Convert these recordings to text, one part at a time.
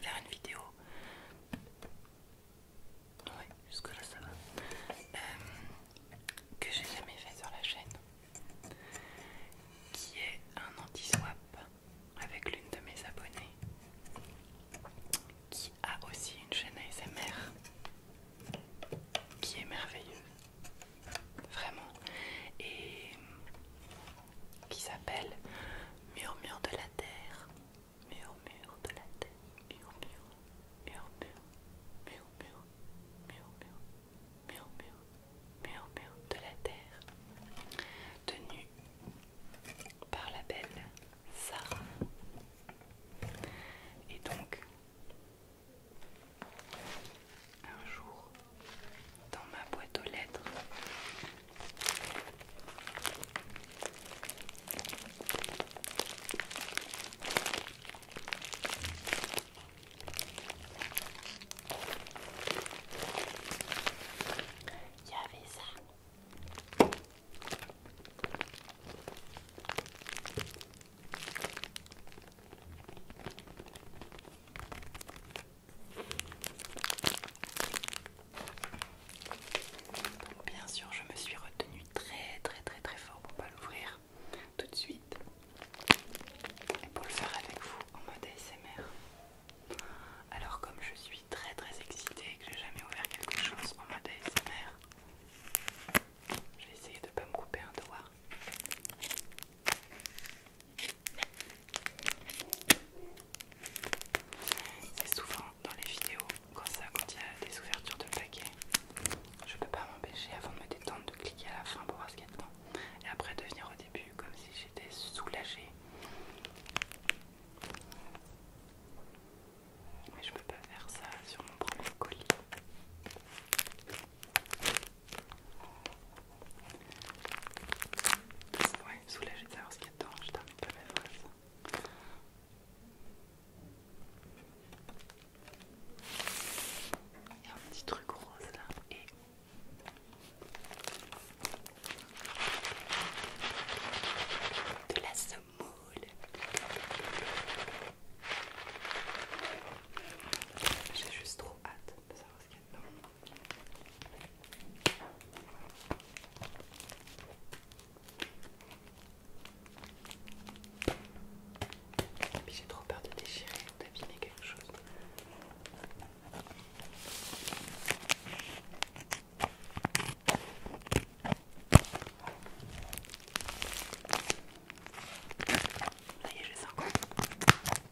faire une vidéo. Ouais, jusque là ça va. Euh, que j'ai jamais fait sur la chaîne. Qui est un anti-swap avec l'une de mes abonnées. Qui a aussi une chaîne ASMR. Qui est merveilleuse. Vraiment. Et qui s'appelle Murmure de la Terre. Murmure de la Terre. Murmure, murmure, murmure, murmure, murmure, murmure de la Terre. Tenue par la belle Sarah. Et donc, un jour, dans ma boîte aux lettres. Il y avait ça bien sûr je me suis retenue très très très très fort pour pas l'ouvrir tout de suite et pour le faire avec vous en mode ASMR. Alors comme je suis très très excitée et que j'ai jamais ouvert quelque chose en mode ASMR, je vais essayer de ne pas me couper un doigt. C'est souvent dans les vidéos, quand il y a des ouvertures de paquets, je ne peux pas m'empêcher avant de me détendre de cliquer à la fin pour voir ce qu'il y a dedans. Et après de venir au début comme si j'étais soulagée. Mais je peux pas faire ça sur mon premier colis soulager de savoir ce qu'il y a dedans, je termine pas ma Il y a un petit truc rose là et de la semoule. J'ai juste trop hâte de savoir ce qu'il y a dedans. Puis j'ai trop peur de déchirer ou d'abîmer quelque chose. Ça y est, j'ai vais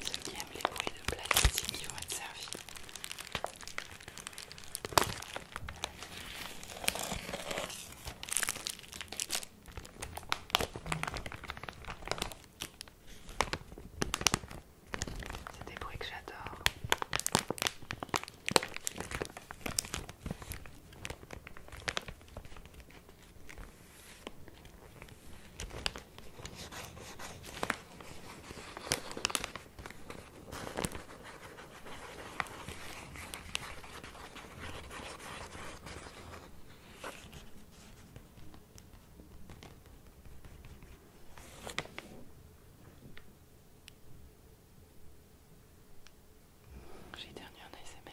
Ceux qui aiment les bruits de plastique qui vont être servis. C'est des bruits que j'adore. J'ai dernier en ASMR.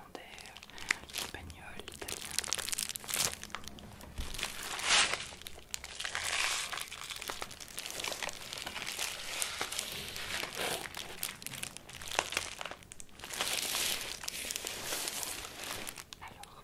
néerlandais, l'espagnol, l'italien. Alors.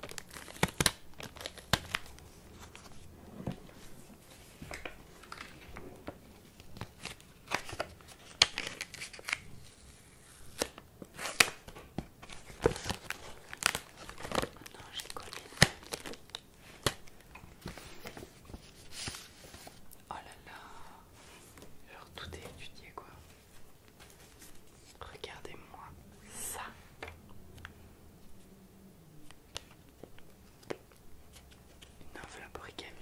Oh là là, genre tout est étudié quoi. Regardez-moi ça. Une enveloppe origami.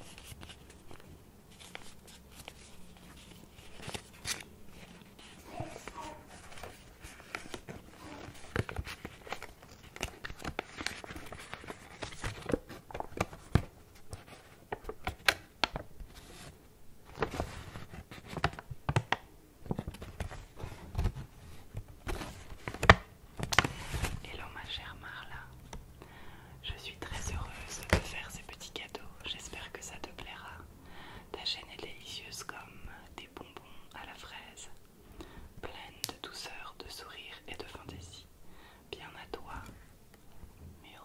Hello ma chère Marla, je suis très heureuse de faire ces petits cadeaux, j'espère que ça te plaira. Ta chaîne est délicieuse comme des bonbons à la fraise, pleine de douceur, de sourire et de fantaisie. Bien à toi, mur.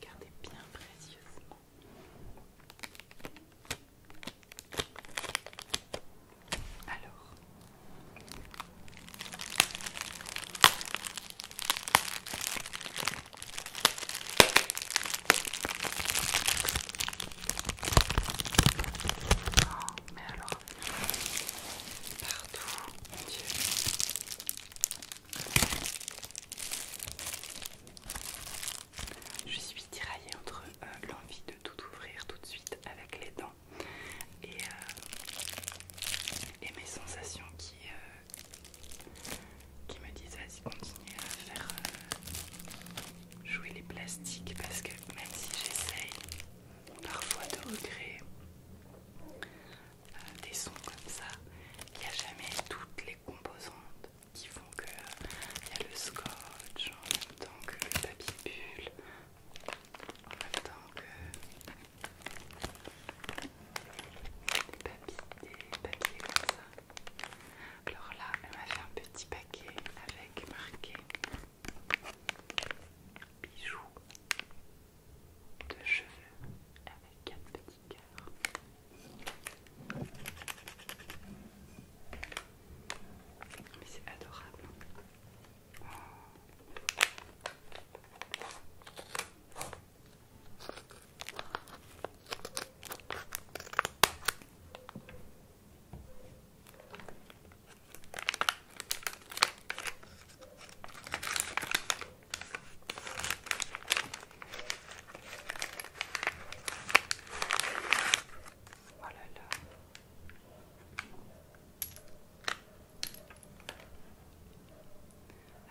Regardez bien précieusement. Alors. Oh, mais alors partout, mon Dieu. Je suis tiraillée entre euh, l'envie de tout ouvrir tout de suite avec les dents et, euh, mes sensations qui, euh, qui me disent vas-y continue à faire jouer les plastiques parce que même si j'essaye, parfois de regret, euh, des sons comme ça. Il n'y a jamais toutes les composantes qui font que euh, il y a le scotch en même temps que le papier bulle, en même temps que le papier comme ça. Alors là, elle m'a fait un petit paquet avec marqué bijoux de cheveux avec quatre petits cœurs. Mais c'est adorable.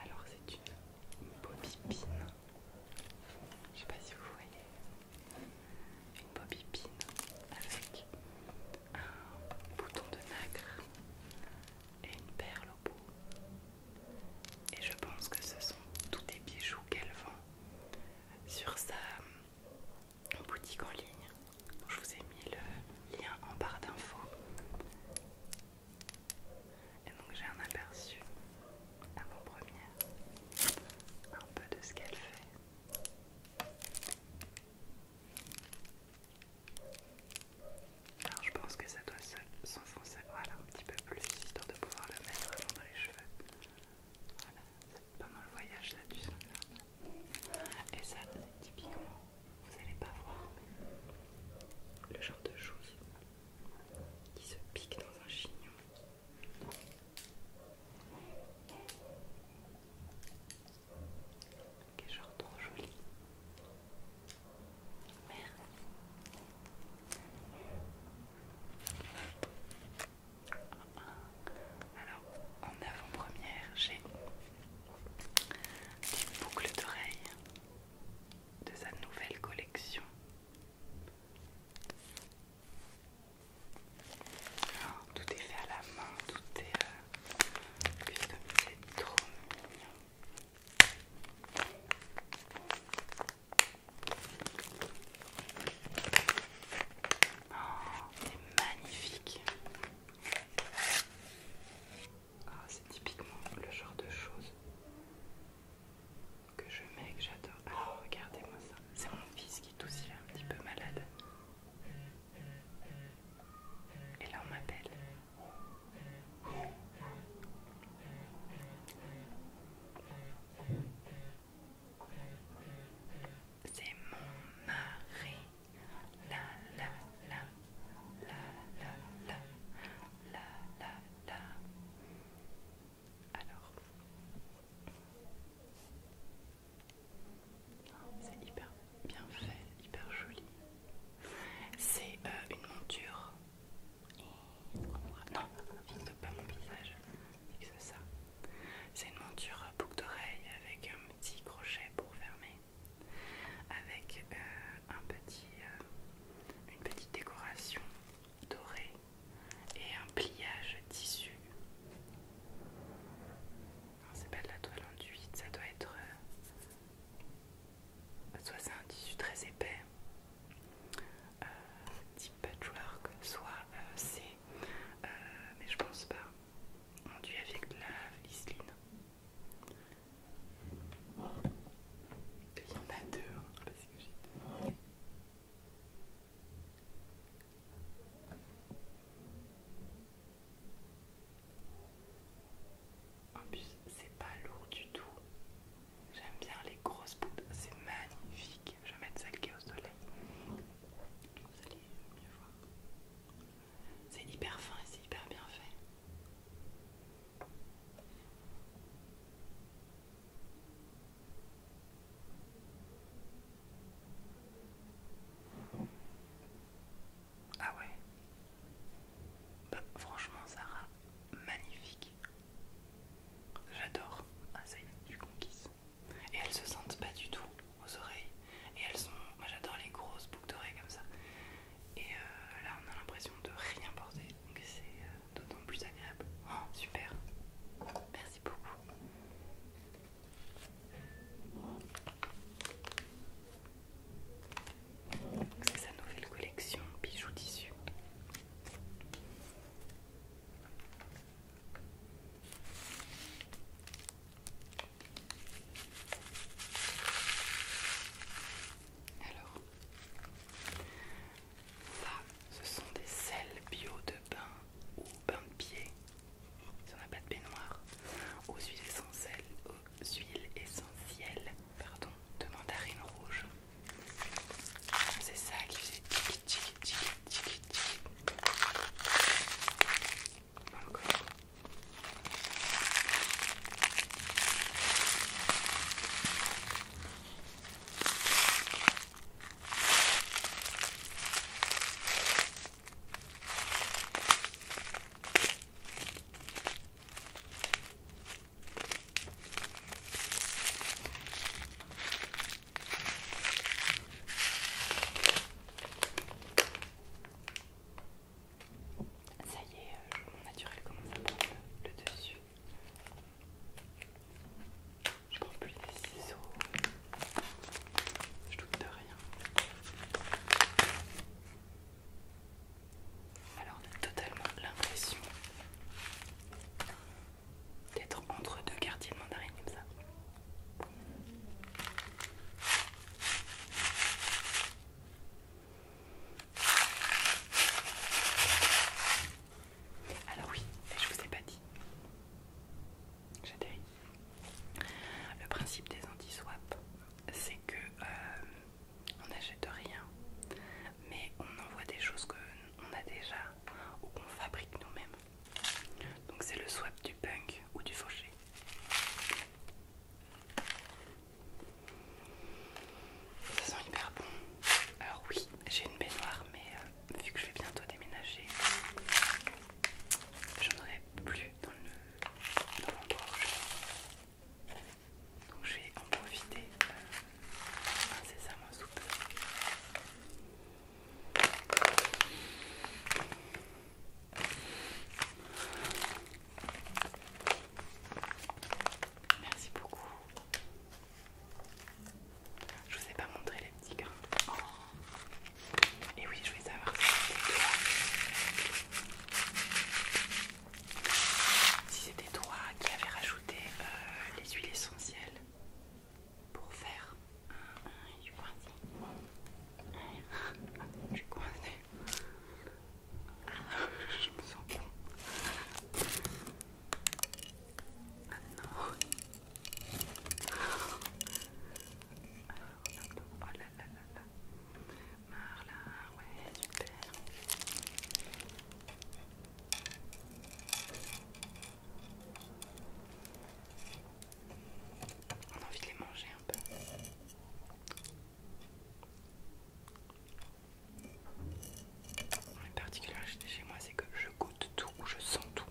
Alors c'est une bobipine. Je sais pas si vous voyez. Une bobipine avec un bouton de nacre et une perle au bout. Et je pense que ce sont tous des bijoux qu'elle vend sur sa boutique en ligne. je vous ai mis le lien en barre d'infos. Et donc j'ai un aperçu à mon premier un peu de ce qu'elle fait. Alors je pense que ça doit s'enfoncer, un petit peu plus, histoire de pouvoir le mettre dans les cheveux. Voilà, pendant le voyage, là du son. Et ça, typiquement, vous n'allez pas voir le genre de choses qui se pique dans un chignon. Quel genre trop joli. Alors, en avant-première, j'ai des boucles d'oreilles de sa nouvelle collection. Tout est fait à la main, tout est euh, trop mignon. Oh, c'est magnifique. Ah, c'est typiquement le genre de choses que je mets que j'adore. Ah, regardez-moi ça. C'est mon fils qui est aussi un petit peu malade. Et là on m'appelle. C'est mon mari. La la la la la la la la la. Alors. C'est hyper bien fait, hyper joli. C'est euh, une monture. Oh, non, pas mon visage, ça. C'est une monture euh, boucle d'oreille avec un euh, petit crochet pour fermer, avec un petit, une petite décoration dorée et un pliage tissu. Non, c'est pas de la toile enduite, ça doit être. Euh, bah, soit c'est un tissu très épais, euh, type patchwork, soit euh, C c'est. mais je pense pas. Enduit avec de la viseline. Il y en a deux, hein, parce que j'ai deux. En plus, c'est pas lourd du tout. J'aime bien les grosses poudres, c'est magnifique. Je vais mettre celle qui est au soleil. Vous allez mieux voir. C'est hyper fin et c'est hyper bien fait. Ah ouais bah, Franchement, Sarah, magnifique. J'adore. Ah ça y est, Et elles se sentent pas du tout aux oreilles. Et elles sont... Moi j'adore les grosses boucles d'oreilles comme ça. Et euh, là on a l'impression de rien porter. Donc c'est euh, d'autant plus agréable. Oh, super. Merci beaucoup. C'est sa nouvelle collection bijoux tissus. Alors, ça, ce sont des sels bio de bain ou bain de pied si on n'a pas de baignoire, aux huiles essentielles, aux pardon, de mandarine rouge. C'est ça qui fait tic tic tic tic tiki. Encore. Ça y est, mon euh, naturel commence à prendre le, le dessus. Je prends plus des ciseaux. Je doute de rien. Alors on a totalement l'impression d'être entre deux quartiers de mandarine comme ça. Alors oui, je vous ai pas dit. J'ai des. Le principe des anti-swaps, c'est que euh, on n'achète rien, mais on envoie des choses qu'on a déjà ou qu'on fabrique nous-mêmes. Donc c'est le swap du punk ou du fauché. Ça sent hyper bon. Alors oui, j'ai une baignoire, mais euh, vu que je vais bientôt déménager, j'en aurai plus dans le, dans mon Donc je vais en profiter euh, c'est ça sous soupe. Merci beaucoup. Je vous ai pas montré les petits grains. Oh. Et oui, je voulais savoir si c'était toi qui avais rajouté euh, les huiles essentielles pour faire un huile Je suis coincée. je me sens bien. Ah non là là ouais, super. On a envie de les manger un peu. La particularité chez moi, c'est que je goûte tout je sens tout.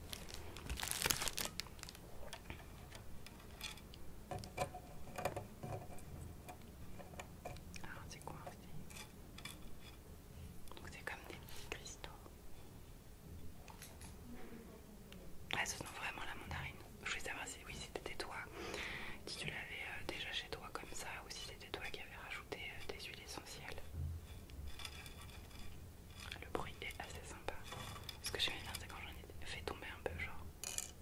Alors c'est quoi Donc c'est comme des petits cristaux. Ah, ce sont vraiment la mandarine. Je voulais savoir si oui, c'était toi si tu l'avais euh, déjà chez toi comme ça ou si c'était toi qui avait rajouté euh, des huiles essentielles. Le bruit est assez sympa. Ce que j'aime bien, c'est quand j'en ai fait tomber un peu, genre.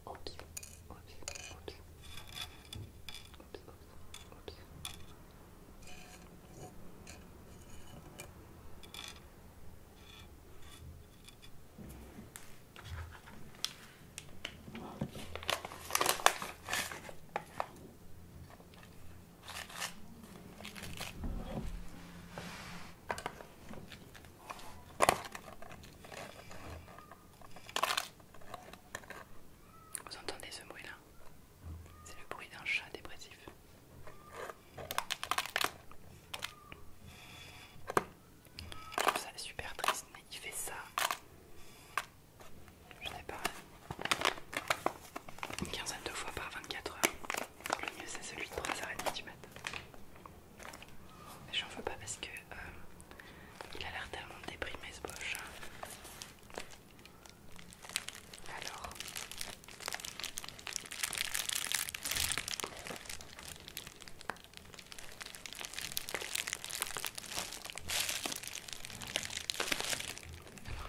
Oups, oups, oups. oups, oups. Vous entendez ce bruit là C'est le bruit d'un chat dépressif. Je trouve ça super triste, mais il fait ça. Je sais pas. Une quinzaine de fois par 24 heures. Le mieux c'est celui de 3h30 du mat. Je j'en veux pas parce que euh, il a l'air tellement déprimé ce poche. Hein. Alors. Alors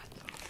attends.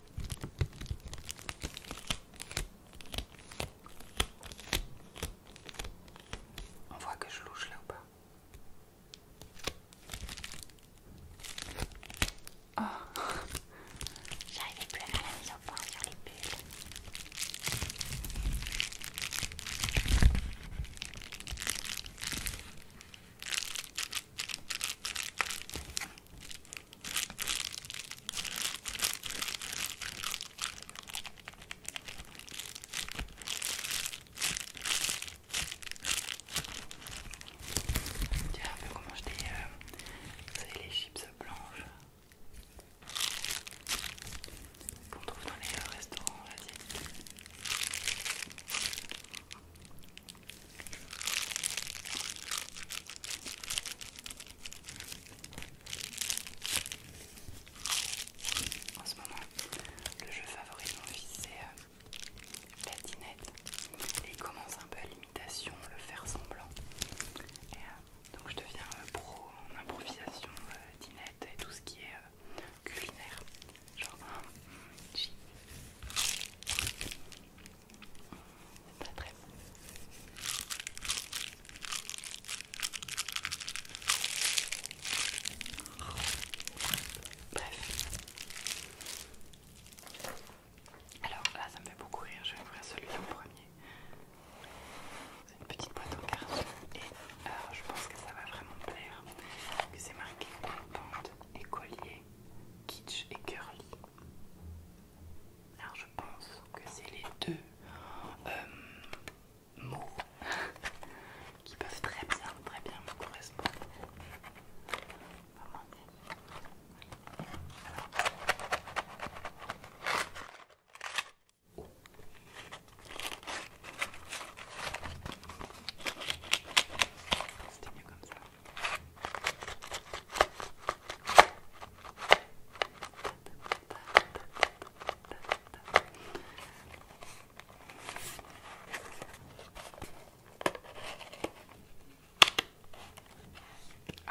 On voit que je louche là ou pas Ah J'arrivais plus à faire la mise au point sur les bulles. Tu un peu comment je euh, les chips blanches qu'on trouve dans les euh, restaurants asiatiques. En ce moment, le jeu favori de mon fils c'est la dinette, Et il commence un peu à l'imitation, le faire semblant. Et, donc je deviens pro en improvisation, dinette et tout ce qui est culinaire. Genre, très bon. Bref. Alors là, ça me fait beaucoup rire. Je vais ouvrir celui-là en premier. C'est une petite boîte en carton et euh, je pense que ça va vraiment plaire. C'est marqué Pente et collier, kitsch et curly. Alors je pense que c'est les deux euh, mots qui peuvent très bien, très bien me correspondre. C'était mieux comme ça.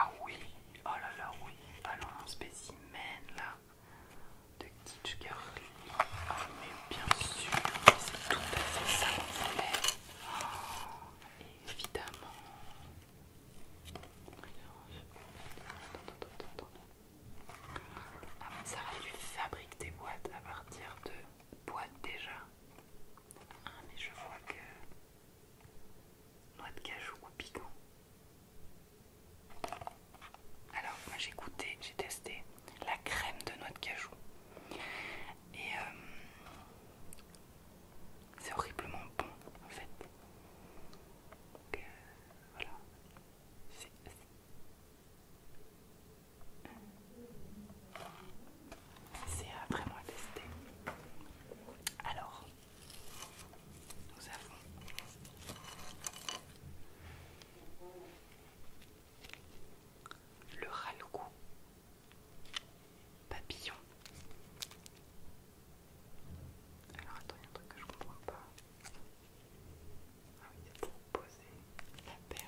Ah oui, oh là là oui, allons un spécimen là de Kitsch Girly. Ah mais bien sûr, c'est tout à fait ça qu'on évidemment. ça va, tu fabriques des boîtes à partir de boîtes déjà. Ah, mais je vois que. Noix de cajou ou piquant. Alors, moi j'ai goûté, j'ai testé la crème de noix de cajou. Et euh, c'est horriblement bon en fait. Euh, voilà. C'est à vraiment tester. Alors, nous avons le ralcou Papillon. Alors attends, il y a un truc que je comprends pas. Ah oui, c'est pour poser la perle.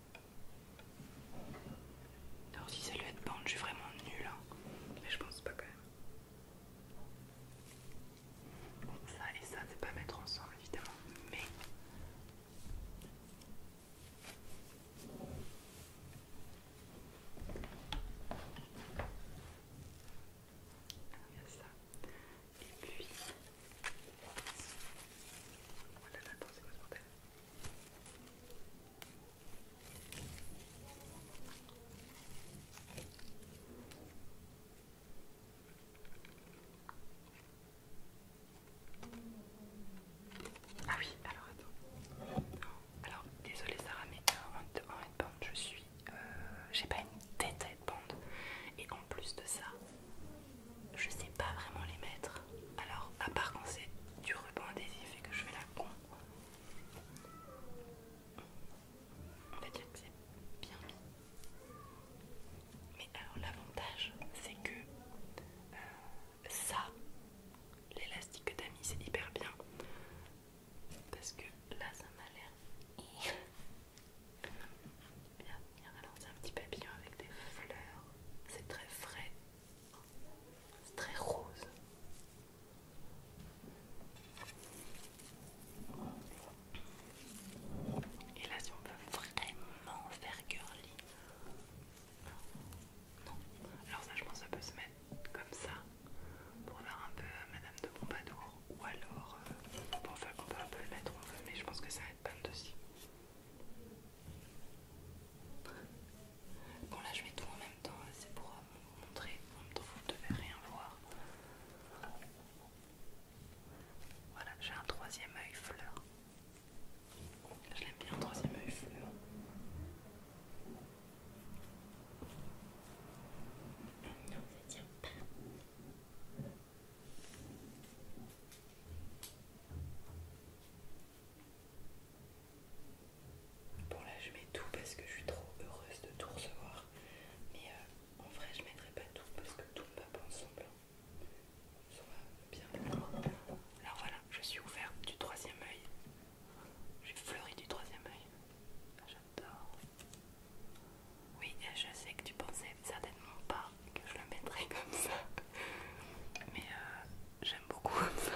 Alors si ça lui de bande, je suis vraiment nulle. Hein. Mais je pense pas quand même. ça et ça, c'est pas mettre ensemble évidemment, mais... Ah, il y a ça. Et puis c'est ah oui, alors attends. Alors, désolé Sarah, mais en, headband, je suis. Euh, j'ai pas une tête à headband. Et en plus de ça, je sais pas vraiment les mettre. Alors, à part quand c'est du ruban adhésif et que je fais la con, on va dire que c'est bien Mais alors, l'avantage, c'est que euh, ça, l'élastique que t'as mis, c'est hyper bien. Parce que là, ça m'a l'air. Bien, Alors c'est un petit papillon avec des fleurs. C'est très frais. C'est très rose. Et là, si on veut vraiment faire girly, non. Alors ça, je pense, que ça peut se mettre comme ça pour faire un peu euh, Madame de Bombadour. ou alors, enfin, euh, on peut un peu le mettre, on veut, mais je pense que ça va être aussi. Bon là je mets tout en même temps, hein, c'est pour euh, vous montrer, en même temps vous ne devez rien voir. Voilà, j'ai un troisième œil fleur. Je l'aime bien, un troisième œil fleur. Non, ça tient pas. Bon là je mets tout parce que je suis trop heureuse de tout recevoir. Mais euh, en vrai je mettrai pas tout parce que tout ne va pas ensemble. Hein. Ça va bien. Alors voilà, je suis ouverte du troisième œil. J'ai fleuri du troisième œil. Ah, j'adore. Oui, je sais que tu pensais certainement pas que je le mettrai comme ça. Mais euh, j'aime beaucoup ça.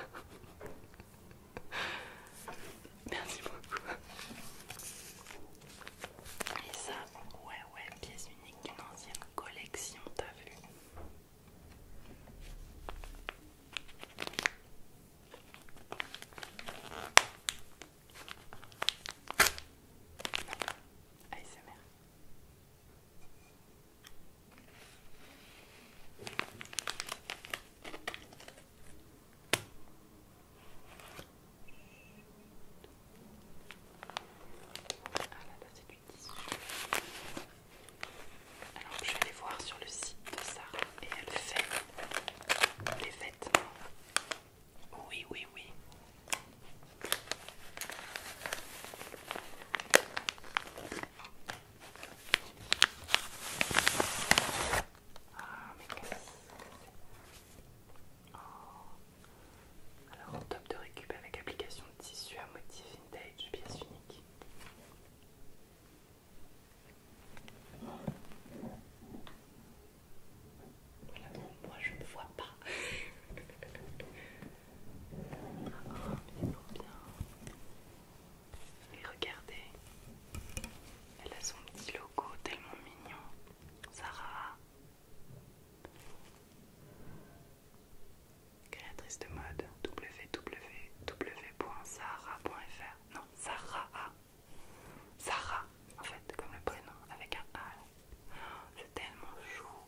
Merci beaucoup. Et ça, ouais, ouais, pièce unique d'une ancienne collection, t'as vu ASMR. Ah, Alors je vais aller voir sur le site de Sarah et elle fait les fêtes. Oui, oui, oui. Ah, alors Alors, top de récup avec application de tissu à motif vintage, pièce unique. moi je ne vois pas. Oh, Et regardez, elle a son petit logo tellement mignon. Sarah, créatrice de mode www.sarah.fr. Non, Sarah Sarah, en fait, comme le prénom, avec un A. C'est tellement chou.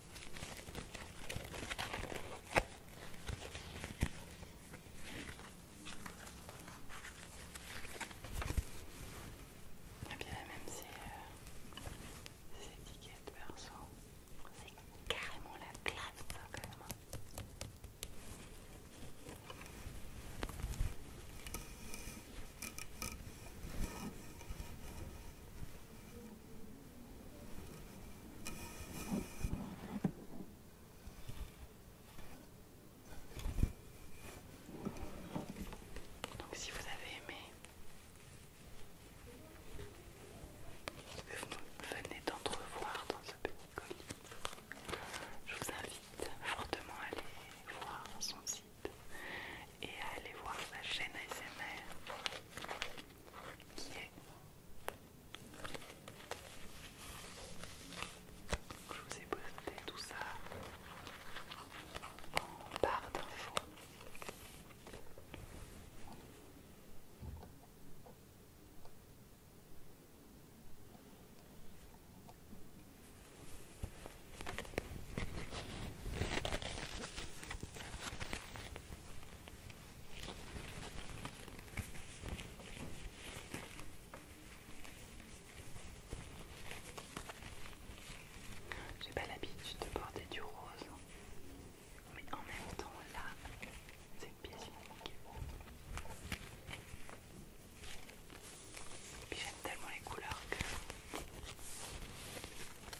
Et bien la même c'est, euh, ces perso, c'est carrément la classe carrément. Donc si vous avez aimé, que vous venez d'entrevoir dans ce petit colis. Je vous invite fortement à aller voir son site et à aller voir sa chaîne ASMR qui est je vous ai posté tout ça en barre d'infos. J'ai pas l'habitude de porter du rose, mais en même temps là, c'est une pièce qui j'aime tellement les couleurs que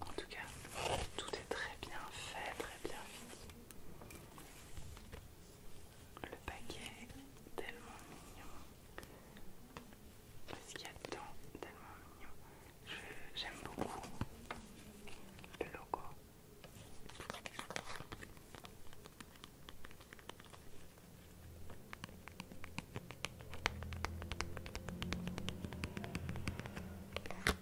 En tout cas, tout est très bien fait, très bien fini. Le paquet est tellement mignon. ce qu'il y a dedans Tellement mignon. J'aime beaucoup le logo.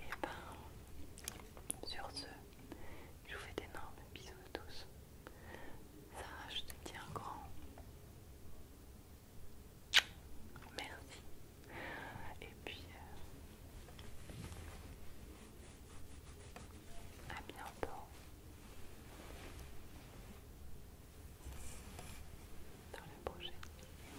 Et eh ben, sur ce, je vous fais d'énormes bisous à tous. ça je te dis un grand merci. Et puis, euh, à bientôt dans la prochaine vidéo.